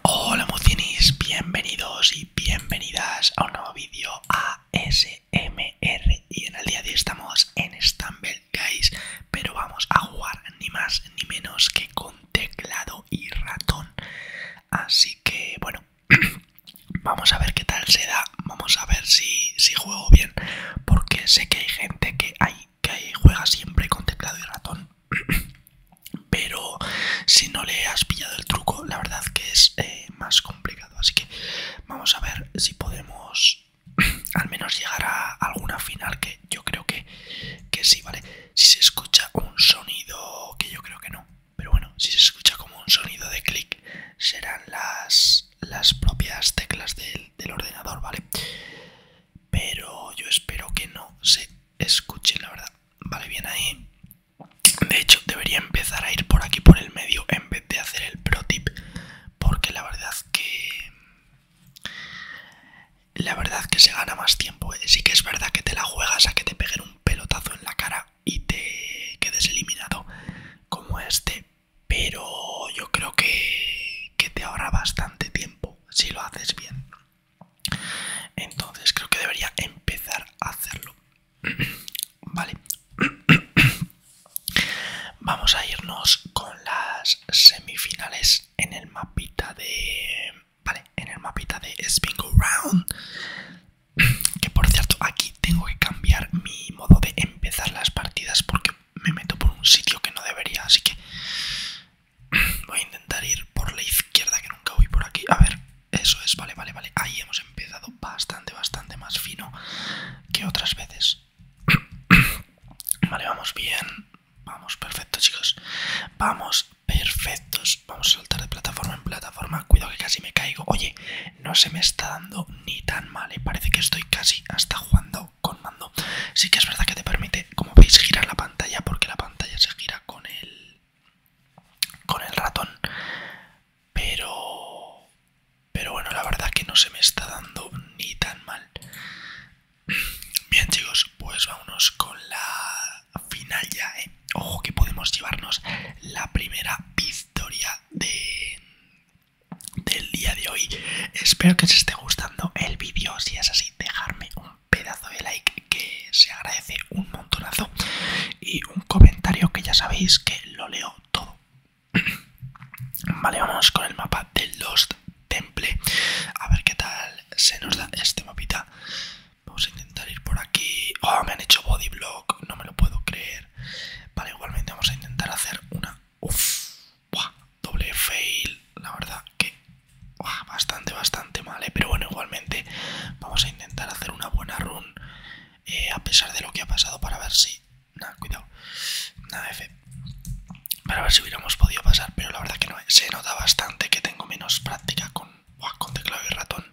Hola Mucinis, bienvenidos y bienvenidas a un nuevo vídeo ASMR y en el día de hoy estamos en Stumble Guys pero vamos a jugar ni más ni menos que con teclado y ratón así que bueno vamos a ver qué tal se da vamos a ver si, si juego bien porque sé que hay gente que hay que juega siempre con teclado y ratón pero si no le has pillado el truco, la verdad que es eh, más complicado. Así que vamos a ver si podemos al menos llegar a alguna final, que yo creo que, que sí, ¿vale? Si se escucha un sonido, que yo creo que no, pero bueno, si se escucha como un sonido de clic, serán las, las propias teclas del, del ordenador, ¿vale? Pero yo espero que no se escuche la verdad. Vale, bien ahí. De hecho, debería empezar a ir por aquí, por el medio, en vez de hacer el pro tip. Porque la verdad que... La verdad que se gana más tiempo. ¿eh? Sí que es verdad que te la juegas a que te peguen un pelotazo en la cara y te quedes eliminado como este. Pero yo creo que, que te ahorra bastante tiempo si lo haces bien. Entonces creo que debería empezar a hacerlo. vale. Vamos a irnos con las semifinales en el mapita de... Vale, en el mapita de Spingo Round. Que por cierto, aquí tengo que cambiar mi modo de empezar las partidas porque me meto por un sitio que no debería. Así que Voy a intentar ir por la izquierda que nunca voy por aquí. A ver, eso es, vale, vale, vale. Ahí hemos empezado bastante, bastante más fino que otras veces. Vale, vamos bien. Vamos, perfecto, chicos. Vamos, perfectos. Vamos a saltar de plataforma en plataforma. Cuidado que casi me caigo. Oye, no se me está dando ni tan mal. ¿eh? Parece que estoy casi hasta jugando con mando. Sí que es verdad que te permite como veis gira la pantalla porque la pantalla se gira con el con el ratón pero pero bueno la verdad que no se me está dando ni tan mal bien chicos pues vámonos con la final ya ¿eh? ojo que podemos llevarnos la primera victoria de del día de hoy espero que os esté gustando el vídeo si es así dejarme un pedazo de like que se agradece un montonazo y un comentario que ya sabéis que lo leo todo. Vale, vamos con el mapa del Lost Temple. A ver qué tal se nos da este mapita. Vamos a intentar ir por aquí. Oh, me han hecho bodyblock, no me lo puedo creer. Vale, igualmente vamos a intentar hacer una. Uf, doble fail, la verdad que bastante, bastante mal, ¿eh? pero bueno, igualmente vamos a intentar hacer una buena run eh, a pesar de lo que ha pasado para ver si... Nada, cuidado, nada F, para ver si hubiéramos podido pasar, pero la verdad que no, eh, se nota bastante que tengo menos práctica con, teclado y ratón,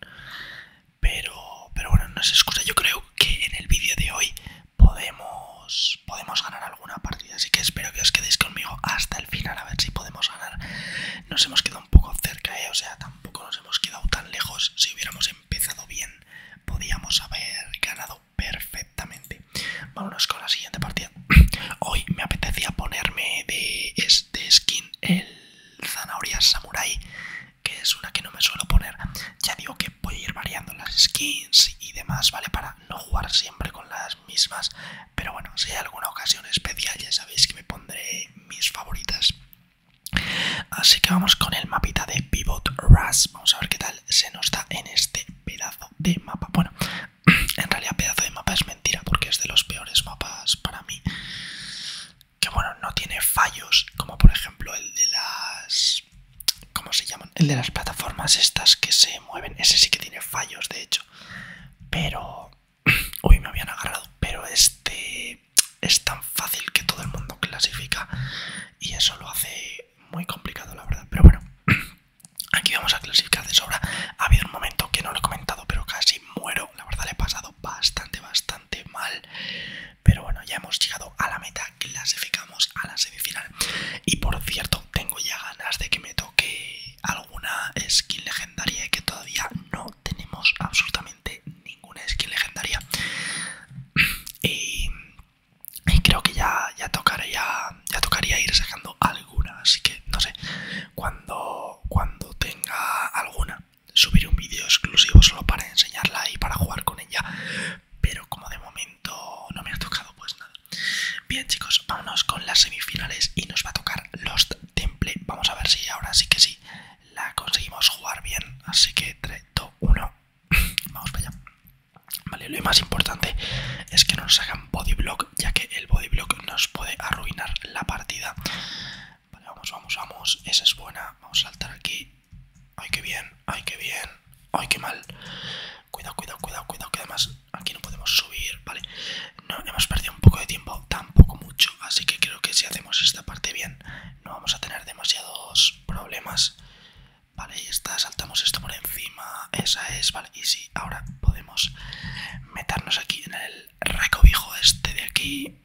pero, pero bueno, no es excusa, yo creo que en el vídeo de hoy podemos, podemos ganar alguna partida. Así que espero que os quedéis conmigo hasta el final a ver si podemos ganar. Nos hemos quedado un poco cerca, eh, o sea, tampoco nos hemos quedado tan lejos. Si hubiéramos empezado bien, podíamos haber ganado perfectamente. Vámonos con la siguiente partida. Hoy me apetecía ponerme de este skin el zanahoria samurai que es una que no me suelo poner ya digo que voy a ir variando las skins y demás vale para no jugar siempre con las mismas. Pero bueno, si hay alguna ocasión especial, ya sabéis que me pondré mis favoritas. Así que vamos con el mapita de Pivot Rush. Vamos a ver qué tal se nos da en este pedazo de mapa. Bueno, en realidad pedazo de mapa es mentira porque es de los peores mapas para mí. Que bueno, no tiene fallos como por ejemplo el de las... ¿Cómo se llaman? El de las plataformas estas que se mueven. Ese sí que tiene fallos, de hecho. Pero... Uy, me habían agarrado. Pero este es tan fácil que todo el mundo clasifica. Y eso lo hace muy complicado, la verdad. Pero bueno, aquí vamos a clasificar de sobra. Ha habido un momento que no lo he comentado, pero casi muero. La verdad, le he pasado bastante, bastante mal. Pero bueno, ya hemos llegado a la meta. Clasificamos a la semifinal. Y por cierto, tengo ya ganas de que me que alguna skin legendaria y que todavía no tenemos absolutamente ninguna skin legendaria y, creo que ya, ya tocaría ya tocaría ir sacando alguna así que no sé cuando cuando tenga alguna subiré un vídeo exclusivo solo para enseñarla y para jugar con ella pero como de momento no me ha tocado pues nada Bien chicos, vámonos con las semifinales y nos va a tocar los Temple. Vamos a ver si ahora sí que sí la conseguimos jugar bien. Así que 3, 2, 1. Vamos para allá. Vale, lo más importante es que no nos hagan Body Block, ya que el Body bodyblock nos puede arruinar la partida. vamos, vamos, vamos. Esa es buena. Vamos a saltar aquí. Ay, qué bien, ay, qué bien, ay, qué mal. Cuidado, cuidado, cuidado, cuidado, que además Aquí no podemos subir, ¿vale? No, hemos perdido un poco de tiempo, tampoco mucho. Así que creo que si hacemos esta parte bien, no vamos a tener demasiados problemas. Vale, ahí está, saltamos esto por encima. Esa es, vale. Y sí, ahora podemos meternos aquí en el recobijo este de aquí.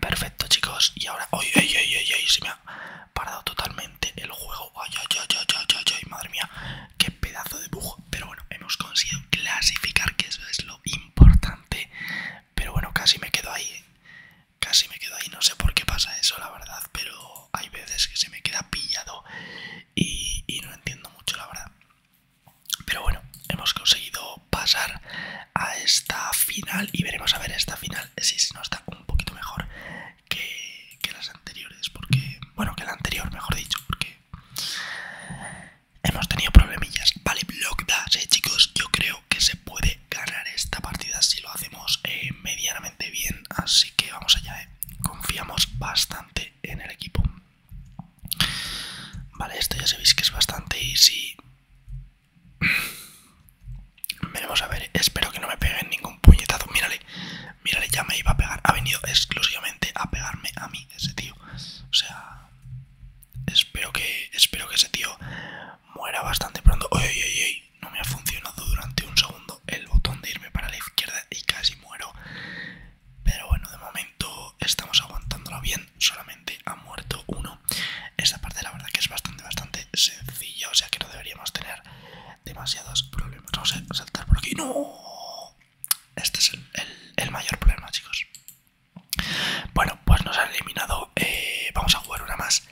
Perfecto, chicos. Y ahora, ¡ay, ay, ay, ay! Se me ha parado totalmente el juego. ay, ay, ay, ay! ay, ay! Madre mía, Qué pedazo de bug. Pero bueno, hemos conseguido clasificar, que eso es lo importante. Pero bueno, casi me quedo ahí. ¿eh? Casi me quedo ahí. No sé por qué pasa eso, la verdad. Pero hay veces que se me queda pillado y, no entiendo mucho, la verdad. Pero bueno, hemos conseguido pasar a esta final y veremos a ver esta final si no está un poquito mejor que, las anteriores, porque, bueno, que la anterior, mejor dicho, porque hemos tenido problemillas. Vale, block dash, eh, chicos, yo creo que se puede ganar esta partida si lo hacemos eh, medianamente bien, así que vamos allá, eh. confiamos bastante en el equipo. Vale, esto ya sabéis que es bastante easy. Veremos a ver, espero que no me peguen ningún puñetazo. Mírale, Mira, ya me iba a pegar. Ha venido exclusivamente a pegarme a mí ese tío. O sea, espero que, espero que ese tío muera bastante pronto. Oye, oye, no me ha funcionado durante un segundo el botón de irme para la izquierda y casi muero. Pero bueno, de momento estamos aguantándolo bien. Solamente ha muerto uno. Esta parte la verdad que es bastante, bastante sencilla. O sea que no deberíamos tener demasiados problemas. Vamos a saltar por aquí. ¡No! Este es el, mayor problema, chicos. Bueno, pues nos han eliminado. Eh, vamos a jugar una más.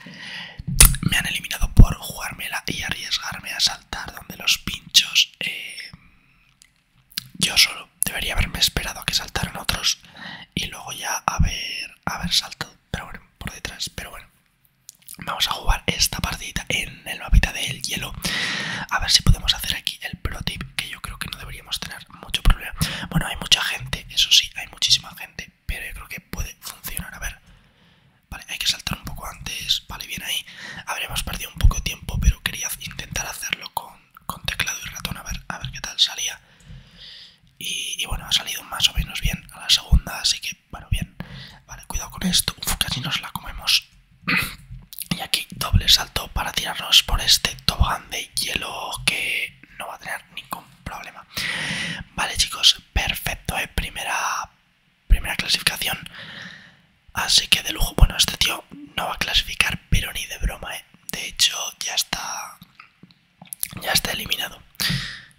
Me han eliminado por jugármela y arriesgarme a saltar donde los pinchos. Eh, yo solo debería haberme esperado a que saltaran otros y luego ya haber, haber saltado. Pero bueno, por detrás. Pero bueno, Vamos a jugar esta partidita en el mapita del hielo. A ver si podemos hacer aquí el pro tip, que yo creo que no deberíamos tener mucho problema. Bueno, hay mucha gente, eso sí, hay muchísima gente, pero yo creo que puede funcionar. A ver, vale, hay que saltar un poco antes. Vale, bien ahí. Habríamos perdido un poco de tiempo, pero quería intentar hacerlo con, teclado y ratón. A ver, a ver qué tal salía. y bueno, ha salido más o menos bien a la segunda, así que bueno, bien. Vale, cuidado con esto. Uf, casi nos la comemos. y aquí doble salto para tirarnos por este tobogán de hielo que no va a tener ningún problema. Vale, chicos, perfecto, ¿eh? Primera, primera clasificación. Así que de lujo, bueno, este tío no va a clasificar, pero ni de broma, ¿eh? De hecho, ya está, ya está eliminado.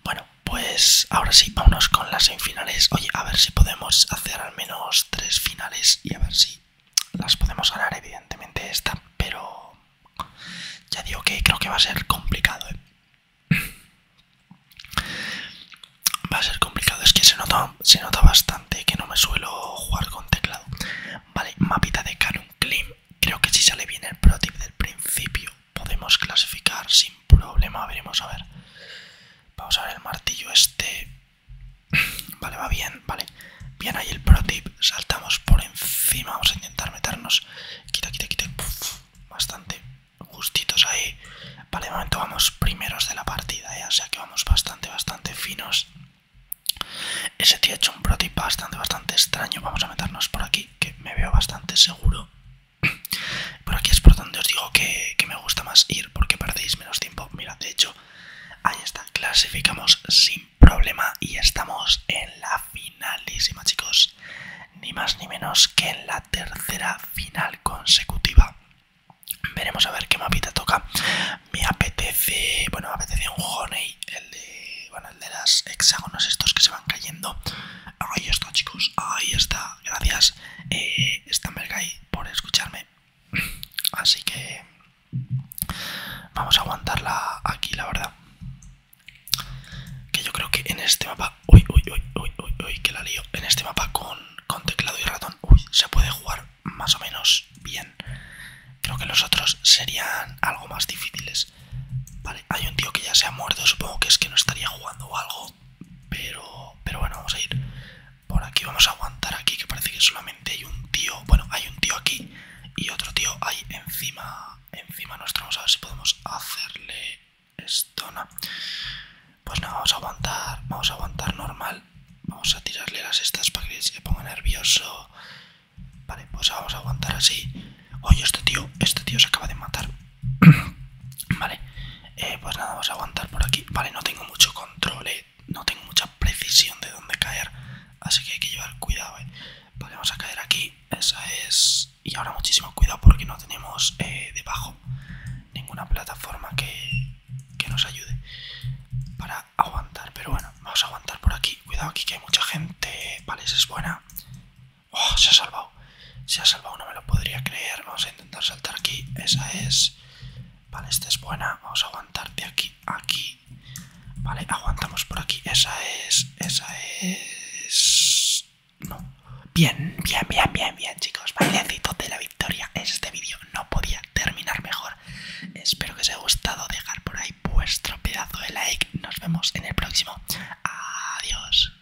Bueno, pues ahora sí, vámonos con las semifinales. Oye, a ver si podemos hacer al menos tres finales y a ver si las podemos ganar, evidentemente, esta. Pero ya digo que creo que va a ser complicado, ¿eh? Va a ser complicado, es que se nota, se nota bastante que no me suelo jugar con teclado. Vale, mapita de Canon Clean. Creo que si sale bien el protip del principio podemos clasificar sin problema. Veremos, a ver. Vamos a ver el martillo este. Vale, va bien, vale. Bien ahí el pro tip. Saltamos por encima. Vamos a intentar meternos. Quita, quita, quita. bastante justitos ahí. Vale, de momento vamos primeros de la partida, ¿eh? o sea que vamos bastante, bastante finos. Ese tío ha hecho un pro tip bastante, bastante extraño. Vamos a meternos por aquí, que me veo bastante seguro. Por aquí es por donde os digo que, me gusta más ir porque perdéis menos tiempo. mirad, de hecho, ahí está. Clasificamos sin problema y estamos en la finalísima, chicos. Ni más ni menos que en la tercera final consecutiva. Veremos a ver qué mapita toca. Me apetece, bueno, me apetece un Honey, el de, bueno, el de las hexágonos estos que se van cayendo. Ahí está, chicos, ahí está, gracias eh, por escucharme. Así que vamos a aguantarla aquí, la verdad. Que yo creo que en este mapa. Uy, uy, uy, uy, uy, que la lío. En este mapa con, teclado y ratón, uy, se puede jugar más o menos bien. Creo que los otros serían algo más difíciles. Vale, hay un tío que ya se ha muerto, supongo que es que no estaría jugando o algo. Pero, pero bueno, vamos a ir por aquí. Vamos a aguantar aquí, que parece que solamente hay un tío. Bueno, hay un tío aquí y otro tío ahí encima, encima nuestro. Vamos a ver si podemos hacerle esto, ¿no? Pues nada, vamos a aguantar, vamos a aguantar normal. Vamos a tirarle las estas para que se ponga nervioso. Vale, pues vamos a aguantar así. Oye, este tío, este tío se acaba de matar. vale, eh, pues nada, vamos a aguantar por aquí. Vale, no tengo mucho control, eh. no tengo mucha precisión de dónde caer, así que hay que llevar cuidado. Eh. Vale, vamos a caer aquí, esa es... Y ahora muchísimo cuidado porque no tenemos eh, debajo ninguna plataforma que, que nos ayude para aguantar. Pero bueno, vamos a aguantar por aquí. Cuidado aquí que hay mucha gente. Vale, esa es buena. Oh, se ha salvado. Se ha salvado, no me lo podría creer. Vamos a intentar saltar aquí. Esa es. Vale, esta es buena. Vamos a aguantar de aquí aquí. Vale, aguantamos por aquí. Esa es. Esa es. No. Bien, bien, bien, bien, bien, chicos. Bailecito de la victoria. Este vídeo no podía terminar mejor. Espero que os haya gustado. Dejar por ahí vuestro pedazo de like. Nos vemos en el próximo. Adiós.